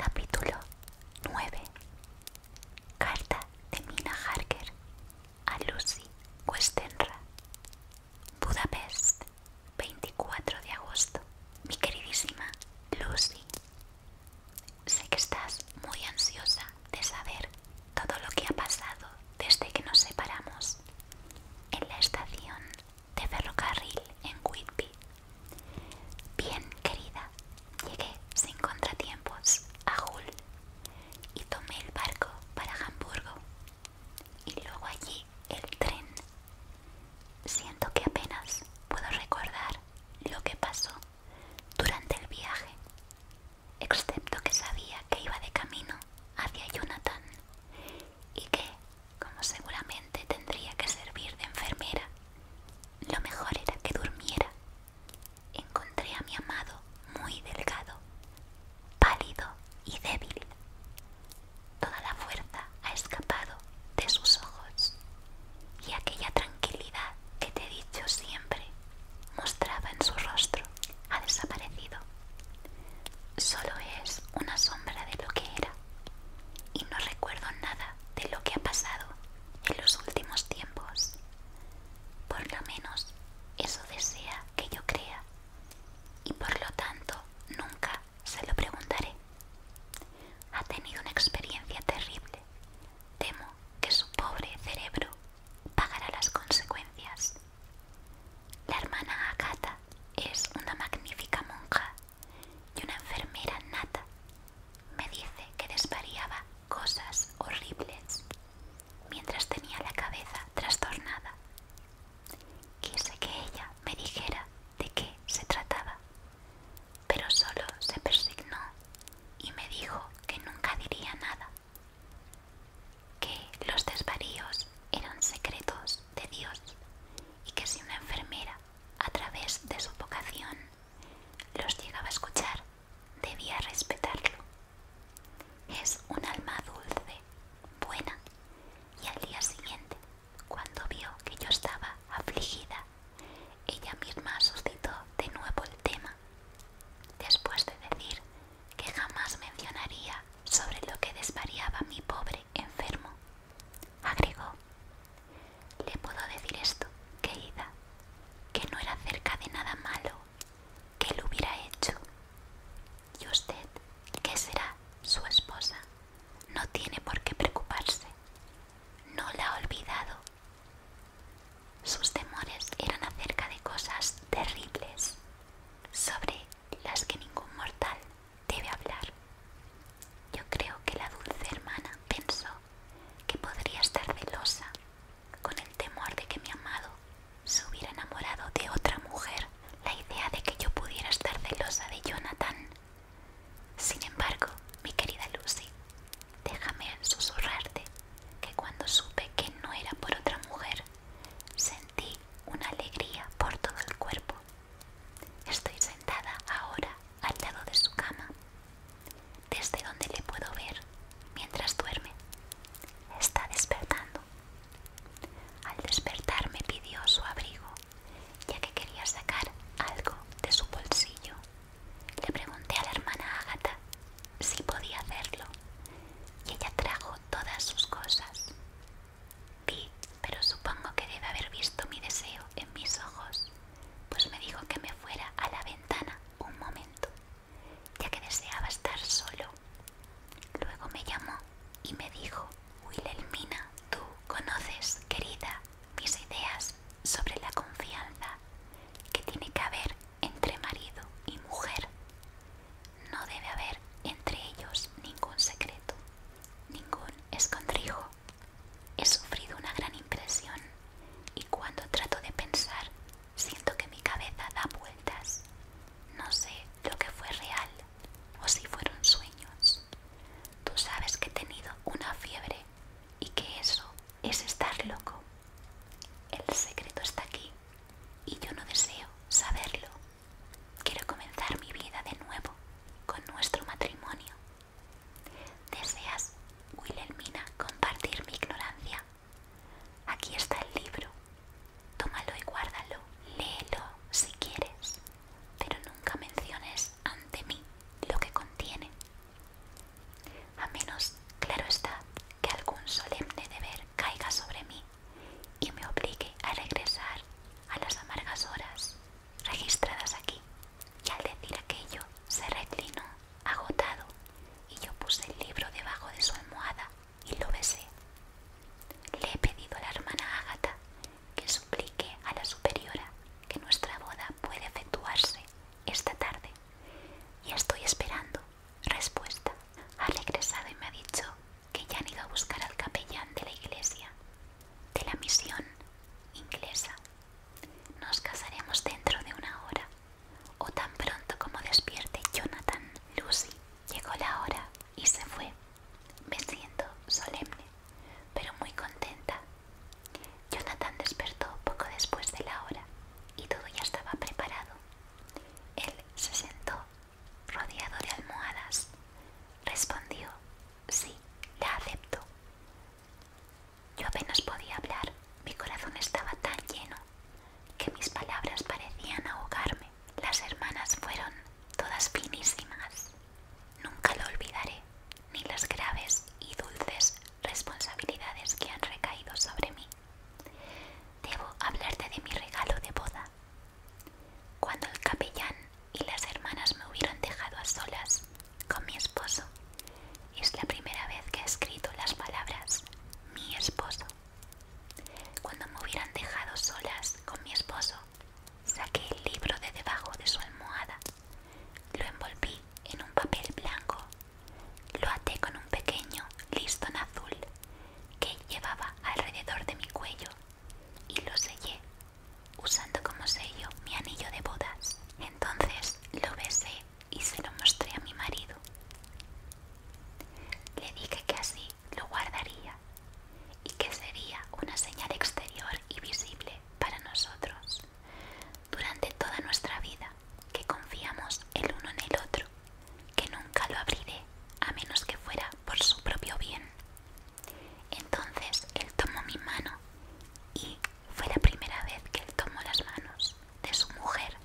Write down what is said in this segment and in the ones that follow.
Capítulo 9 Carta de Mina Harker a Lucy Westenra Budapest 24 de agosto Mi queridísima Lucy Sé que estás muy ansiosa de saber todo lo que ha pasado desde que nos separamos en la estación de ferrocarril en Whitby. Bien, querida, llegué sin contratiempos a Hull y tomé el barco para Hamburgo y luego allí el tren. Siento que apenas puedo recordar lo que pasó durante el viaje, excepto que sabía que iba de camino hacia Jonathan y que como seguramente tendría que servir de enfermera, lo mejor era que durmiera. Encontré a mi amado muy delgado, pálido y débil. Toda la fuerza ha escapado de sus ojos y aquella tranquilidad que te he dicho siempre mostraba en su rostro ha desaparecido. Solo es una sombra de lo que era y no recuerdo nada de lo que ha pasado en los últimos tiempos. Por lo menos eso desea que yo crea y por lo tanto nunca se lo preguntaré. Ha tenido una experiencia terrible. Temo que su pobre cerebro pagará las consecuencias. La hermana Akata es una magnífica monja y una enfermera nata. Me dice que desvariaba cosas horribles mientras tenía la cabeza trastornada. Quise que ella me dijera de qué se trataba, pero solo se persignó y me dijo que nunca diría nada que los desvaríos eran secretos de Dios y que si una enfermera a través de su vocación los llegaba a escuchar, debía respetarlo. Es un alma dulce, buena, y al día siguiente, cuando vio que yo estaba afligida, ella misma suscitó de nuevo el tema, después de decir que jamás mencionaría sobre lo que desvariaba mi pobre enfermo. Agregó, le puedo decir esto, querida, que no era cerca de nada malo que lo hubiera hecho. Y usted, que será su esposa, no tiene por qué preocuparse. No la ha olvidado. Sus temores eran acerca de cosas terribles, sobre las que ningún mortal debe hablar. Yo creo que la dulce hermana pensó que podría estar celosa con el temor de que mi amado se hubiera enamorado de otra mujer. La idea de que yo pudiera estar celosa de Jonathan. Sin embargo, mi querida Lucy, déjame susurrarte que cuando supe que no era por otra mujer, Sentí una alegría por todo el cuerpo. Estoy sentada ahora al lado de su cama, desde donde le puedo ver mientras duerme. Está despertando. Al despertar me pidió su abrigo, ya que quería sacar algo de su bolsillo. Le pregunté a la hermana Ágata si podía hacerlo, y ella trajo todas sus cosas. Vi, pero supongo que debe haber visto mi deseo en mis ojos, pues me dijo que me fuera a la ventana un momento, ya que deseaba estar solo. Luego me llamó y me dijo, Wilhelmina, tú conoces, querida, mis ideas sobre la confianza que tiene que haber entre marido y mujer. No debe haber entre ellos ningún secreto, ningún escondrijo. He sufrido una gran impresión y cuando trato de pensar siento que mi cabeza da vueltas. No sé lo que fue real o si fueron sueños. Tú sabes que he tenido una fiebre y que eso es estar loco. El secreto está aquí y yo no deseo saberlo. Quiero comenzar mi vida de nuevo con nuestro matrimonio. ¿Deseas, Wilhelmina, compartir mi ignorancia? Aquí está el libro. Tómalo y guárdalo. Léelo si quieres, pero nunca menciones ante mí lo que contiene. A menos, claro está, que algún solemne deber caiga sobre mí y me obligue a regresar a las amargas horas registradas aquí. Y al decir aquello, se reclinó, agotado, y yo puse el libro debajo de su almohada y lo besé. Le he pedido a la hermana Ágata que suplique a la superiora que nuestra boda puede efectuarse esta tarde y estoy esperando Respuesta. Ha regresado y me ha dicho que ya han ido a buscar al capellán de la iglesia, de la misión inglesa. Nos casaremos dentro de una hora, o tan pronto como despierte Jonathan. Lucy llegó la hora y se fue. Me siento solemne, pero muy contenta. Jonathan despertó poco después de la hora y todo ya estaba preparado. Él se sentó rodeado de almohadas. Respondió, sí, la acepto. Yo apenas podía hablar, mi corazón estaba tan lleno que mis palabras parecían ahogarme. Las hermanas fueron todas finísimas. Nunca lo olvidaré, ni las graves y dulces responsabilidades que han recaído sobre mí. Debo hablarte de mi regalo de boda. Cuando el capellán y las hermanas me hubieran dejado a solas con mi esposo, es la primera vez que he escrito las palabras mi esposo. Cuando me hubieran dejado solas con mi esposo, saqué el libro de debajo de su almohada, lo envolví en un papel blanco lo até con un pequeño listón azul que llevaba alrededor de mi cuello y lo sellé usando como sello mi anillo de bodas. Entonces lo besé y se lo mostré a mi marido. Le dije que así lo guardaría y que sería una señal exterior y visible para nosotros durante toda nuestra vida que confiamos el uno en el otro, que nunca lo abriré a menos que fuera por su propio bien. Entonces él tomó mi mano y fue la primera vez que él tomó las manos de su mujer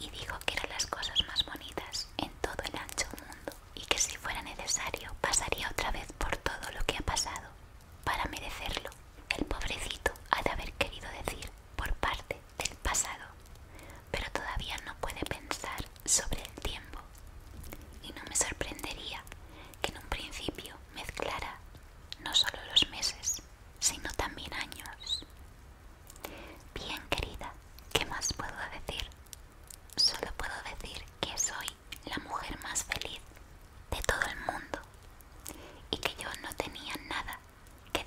y dijo que eran las cosas más bonitas en todo el ancho mundo y que si fuera necesario pasaría otra vez por todo lo que ha pasado para merecerlo. El pobrecito ha de haber querido decir por parte del pasado, pero todavía no puede pensar sobre el tiempo. Y no me sorprendería que en un principio mezclara no solo los meses, sino también años. Bien, querida, ¿qué más puedo decir? Solo puedo decir que soy la mujer más feliz de todo el mundo y que yo no tenía nada que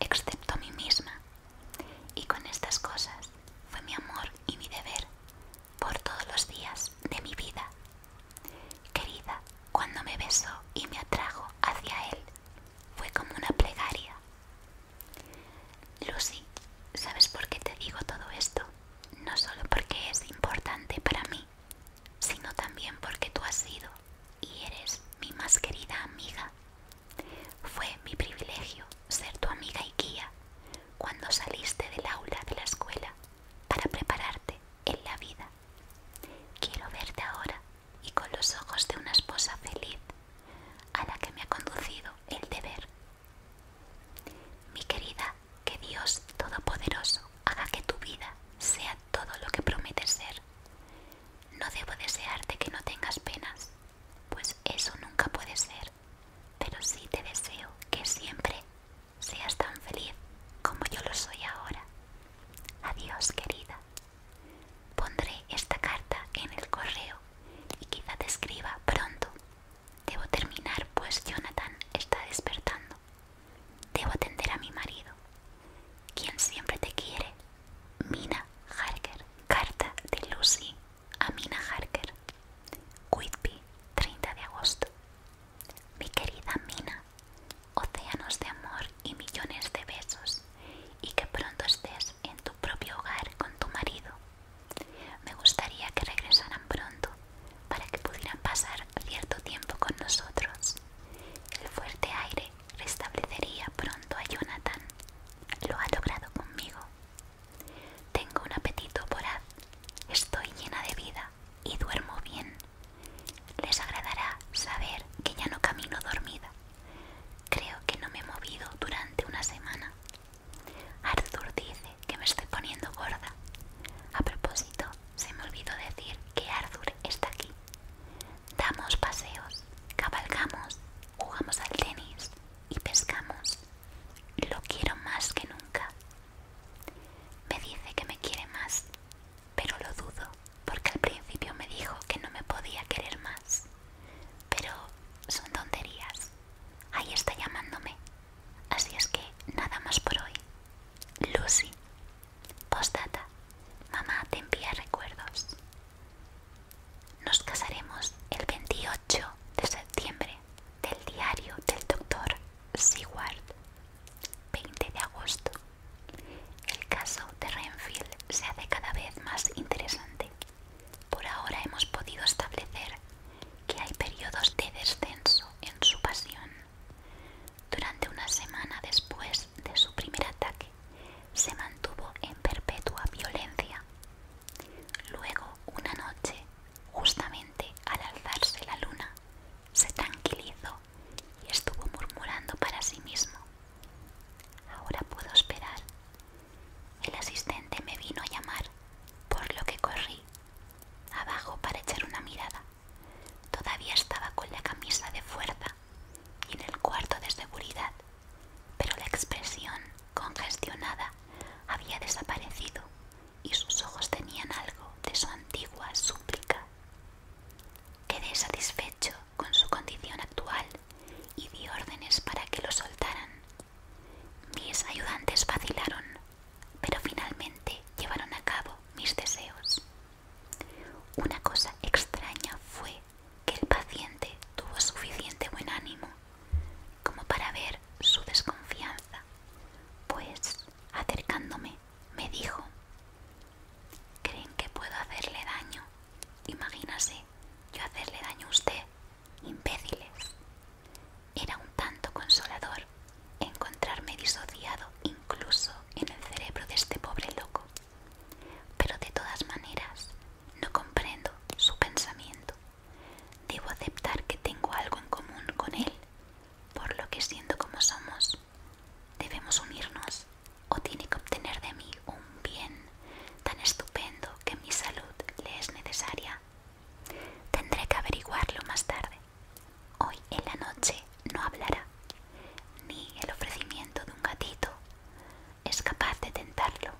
excepto a mí misma. Y con estas cosas fue mi amor y mi deber por todos los días de mi vida. Querida, cuando me besó y me atrajo hacia él, fue como una plegaria. Lucy, ¿sabes por qué te digo todo esto? No solo porque es importante para mí, sino también porque tú has sido y eres mi más querida amiga. Fue mi privilegio ser tu amiga y guía cuando saliste del aula de la escuela para prepararte en la vida. Quiero verte ahora y con los ojos de una esposa feliz a la que me ha conducido el deber. Mi querida, que Dios Todopoderoso haga que tu vida sea todo lo que promete ser. No debo desearte que no tengas penas, pues eso nunca puede ser, pero sí te deseo que siempre seas tan feliz como yo lo soy ahora. Adiós, querida. Pondré esta carta en el correo y quizá te escriba pronto. Debo terminar, pues Jonathan está despertando. Debo atender a mi marido, quien siempre te quiere. Mina Harker. Carta de Lucy a Mina Harker. Whitby, 30 de agosto. Mi querida Mina, océanos de amor y millones de besos, y que pronto estés en tu propio hogar con tu marido. Me gustaría que regresaran pronto para que pudieran pasar cierto tiempo con nosotros. El fuerte aire restablecería pronto a Jonathan. Lo ha logrado conmigo. Tengo un apetito voraz. Estoy llena de vida y duermo bien. Les agradará saber que ya no camino dormida. Creo que no me he movido durante una semana. Arthur dice que me estoy poniendo gorda. A propósito, se me olvidó decir que Arthur está aquí. Damos paseos, cabalgamos, jugamos al tenis y pescamos. Lo quiero más que nunca. Me dice que me quiere más, pero lo dudo, porque al principio me dijo que no me podía querer más. Pero son tonterías. Ahí está llamándome. Así es que nada más por hoy. Lucy, Postdata. Mamá te envía recuerdos. Nos casaremos el 28 de septiembre del diario del doctor Seward. 20 de agosto. El caso de Renfield se hace cada vez más interesante. Por ahora hemos podido establecer que hay periodos de descenso en su pasión durante una semana después de su primer ataque, se mantuvo en perpetua violencia. Luego, una noche, justamente al alzarse la luna, se tranquilizó y estuvo murmurando para sí mismo. Ahora puedo esperar. El asistente me vino a llamar, por lo que corrí abajo para echar una mirada. Todavía estaba con la camisa de fuerza y en el cuarto de seguridad, pero la expresión congestionada había desaparecido y sus ojos tenían algo de su antigua súplica. Quedé satisfecho con su condición actual y di órdenes para que lo soltaran. Mis ayudantes vacilaron pero finalmente llevaron a cabo mis deseos. Una cosa extraña fue que el paciente tuvo suficiente buen ánimo como para ver su desconfianza, pues acercándome me dijo, ¿creen que puedo hacerle daño? Imagínase yo hacerle daño a usted, imbéciles. Era un tanto consolador encontrarme disociado incluso en el cerebro de este pobre loco. Pero de todas maneras, no comprendo su pensamiento. Debo aceptar que tengo algo en común con él, por lo que siento como somos, debemos unirnos o tiene que obtener de mí un bien tan estupendo que mi salud le es necesaria Tendré que averiguarlo más tarde. Hoy en la noche no hablará, ni el ofrecimiento de un gatito es capaz de tentarlo.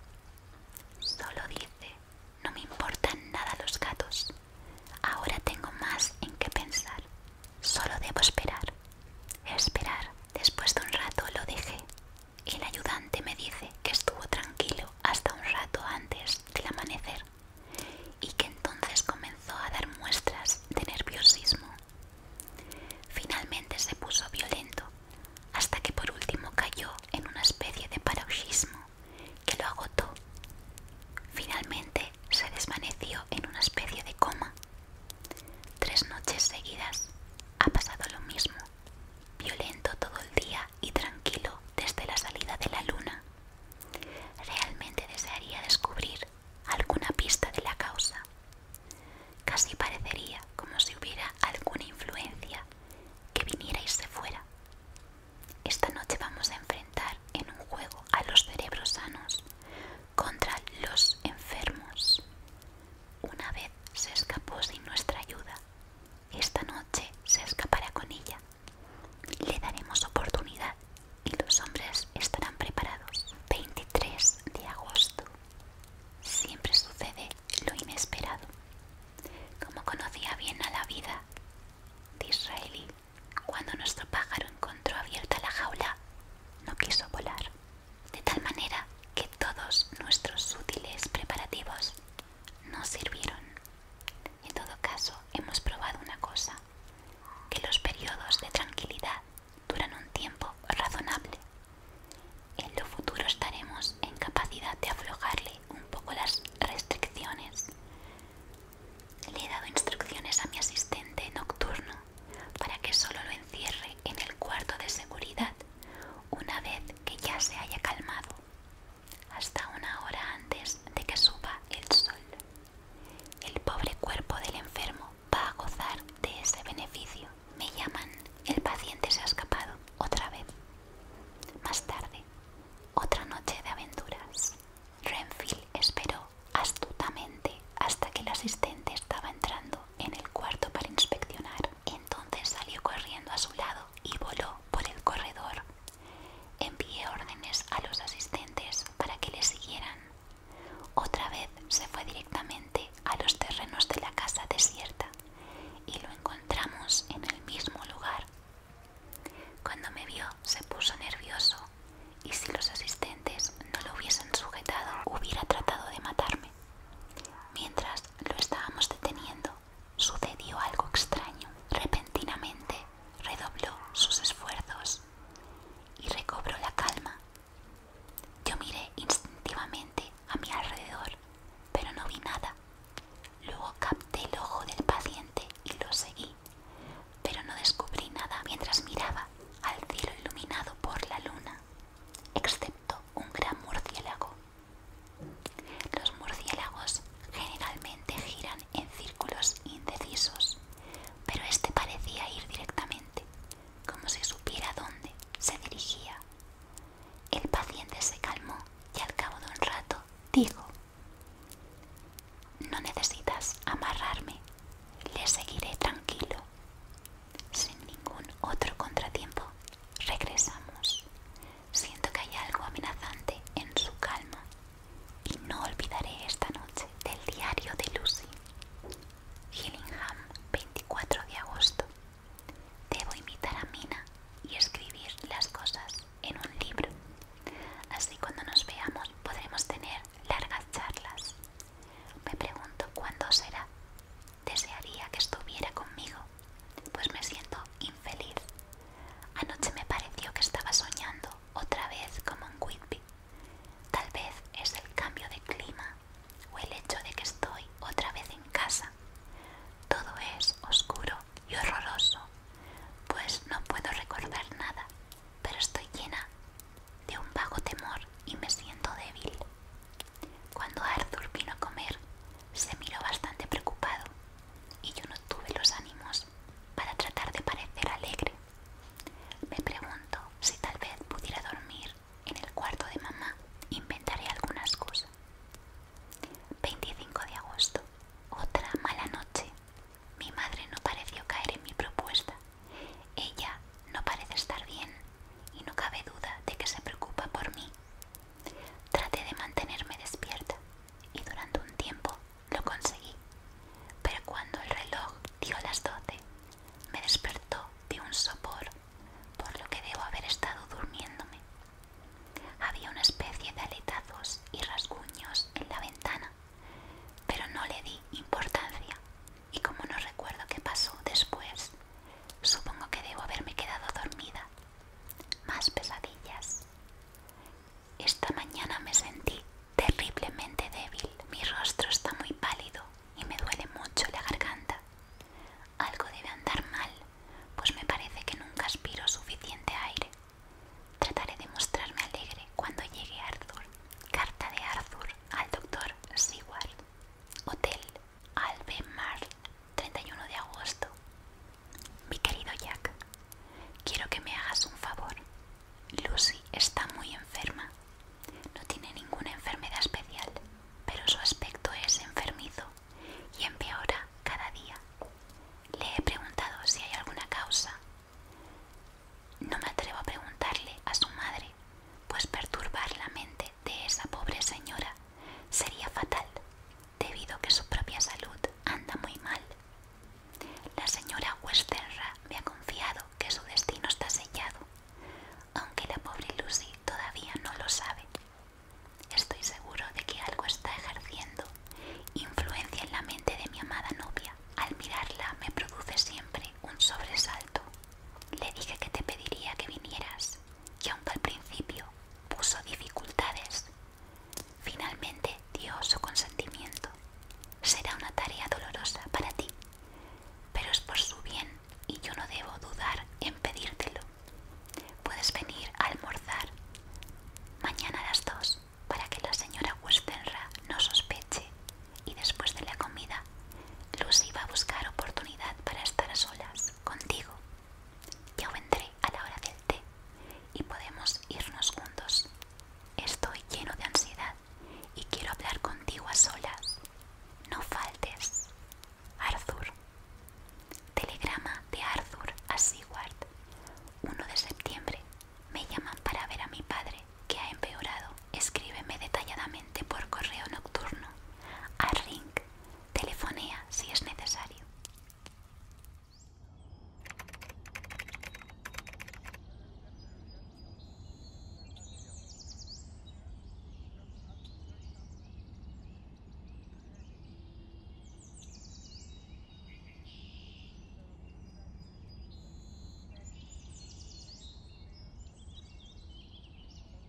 Solo dice, no me importan nada los gatos. Ahora tengo más en qué pensar. Solo debo esperar. Esperar. Después de un rato lo dejé. El ayudante me dice que estuvo tranquilo hasta un rato antes del amanecer y que entonces comenzó a dar muestras de nerviosismo. Finalmente se puso violento hasta que por último cayó en una especie de paroxismo que lo agotó. Finalmente se desvaneció en una especie de coma. Tres noches seguidas ha pasado lo mismo, violento todo el día y tranquilo desde la salida de la luna. Realmente desearía descubrir alguna pista de la causa. Casi parecería como si hubiera alguna influencia que viniera y se fuera. Esta noche vamos a enfrentar en un juego a los cerebros sanos contra los enfermos. Una vez se escapó sin nuestra ayuda, esta noche se escapará con ella. Le daremos oportunidad y los hombres estarán preparados. 23 de agosto. Siempre sucede lo inesperado. Como conocía bien a la vida de Israelí, cuando nuestro pájaro encontró abierta la jaula, no quiso volar. De tal manera que todos nuestros útiles preparativos no sirvieron en todo caso, hemos probado una cosa, que los periodos de tranquilidad duran un tiempo razonable. En lo futuro estaremos en capacidad de aflojarle un poco las restricciones. Le he dado instrucciones a mi asistente nocturno para que solo lo encierre en el cuarto de seguridad una vez que ya se haya calmado hasta una hora antes de que suba el sol. El pobre cuerpo del enfermo va a gozar de ese beneficio. Me llaman, el paciente se ha escapado otra vez. Más tarde, otra noche de aventuras. Renfield esperó astutamente hasta que el asistente estaba entrando en el cuarto para inspeccionar. Entonces salió corriendo a su lado y voló por el corredor Envié órdenes a los asistentes para que le siguieran. Otra vez se fue directamente a los terrenos de la casa desierta y lo encontramos en el mismo lugar. Cuando me vio se puso nervioso y si los asistentes no lo hubiesen sujetado hubiera tratado de matarme. Mientras lo estábamos deteniendo, sucedió algo extraño. Repentinamente redobló sus esfuerzos y recobró la calma. Yo miré instintivamente a mi alrededor, pero no vi nada. Luego capté el ojo del paciente y lo seguí, pero no descubrí nada mientras miraba al cielo iluminado por la luna, excepto un gran murciélago los murciélagos generalmente giran en círculos indecisos, pero este parecía ir directamente, como si supiera dónde se dirigía. El paciente se calmó y al cabo de un rato dijo, No necesitas amarrarme, le seguiré tranquilo. Sin ningún otro contratiempo, regresamos. Siento que hay algo amenazante en su calma y no olvidaré esta noche del diario de Lucy. Gillingham, 24 de agosto. Debo invitar a Mina y escribir las cosas en un libro. Así cuando nos veamos podremos tener largas charlas. Me pregunto cuándo será. Desearía que estuviera conmigo pues me siento infeliz. Anoche me pareció que estaba soñando otra vez como un Whitby. Tal vez es el cambio de clima o el hecho de que estoy otra vez en casa. Todo es oscuro y horroroso, pues no puedo recordar nada, pero estoy llena de un vago temor y me siento débil. Cuando Arthur vino a comer, se miró bastante preocupado y yo no tuve los ánimos para tratar de parecer alegre. Me pregunto si tal vez pudiera dormir en el cuarto de mamá. Inventaré alguna excusa. 25 de agosto. Otra mala noche. Mi madre no pareció caer en mi propuesta. Ella no parece estar bien y no cabe duda de que se preocupa por mí Traté de mantenerme despierta y durante un tiempo lo conseguí, pero cuando el reloj dio las doce, me despertó de un sopor, por lo que debo haber estado durmiéndome. Había una especie de aletazos y rasguños en la ventana, pero no le di importancia y como no recuerdo qué pasó después, supongo que debo haberme quedado dormida más pesadillas. Esta mañana me sentí terriblemente débil. Mi rostro está muy pálido y me duele mucho la garganta. Algo debe andar mal, pues me parece que nunca aspiro suficiente aire. Trataré de mostrarme alegre cuando llegue Arthur. Carta de Arthur al doctor Seward. Hotel Mar. 31 de agosto. Mi querido Jack, quiero que me hagas un favor. Lucy está muy enferma. No tiene ninguna enfermedad especial, pero su aspecto es enfermizo y empeora cada día. Le he preguntado si hay alguna causa. No me atrevo a preguntarle a su madre, pues perturbar la mente de esa pobre señora sería fatal, debido a que su propia salud anda muy mal. La señora Westerra me ha confiado que su destino está sellado, aunque la pobre Lucy todavía no lo sabe. Estoy seguro de que algo está ejerciendo influencia en la mente de mi amada novia. Al mirarla me produce siempre un sobresalto. Le dije que te pediría que vinieras, y aunque al principio puso dificultades. Finalmente dio su consentimiento. Será una tarea dolorosa para ti, pero es por su bien y yo no debo dudar en pedírtelo. Puedes venir a almorzar mañana a las dos para que la señora Westenra no sospeche y después de la comida Lucy va a buscar oportunidad para estar a solas contigo yo vendré a la hora del té y podemos irnos juntos. Estoy lleno de ansiedad y quiero hablar contigo a solas. No faltes. Arthur. Telegrama de Arthur a Seward. 1 de septiembre. Me llaman para ver a mi padre, que ha empeorado. Escríbeme detalladamente por correo nocturno a Telefonía, si es necesario.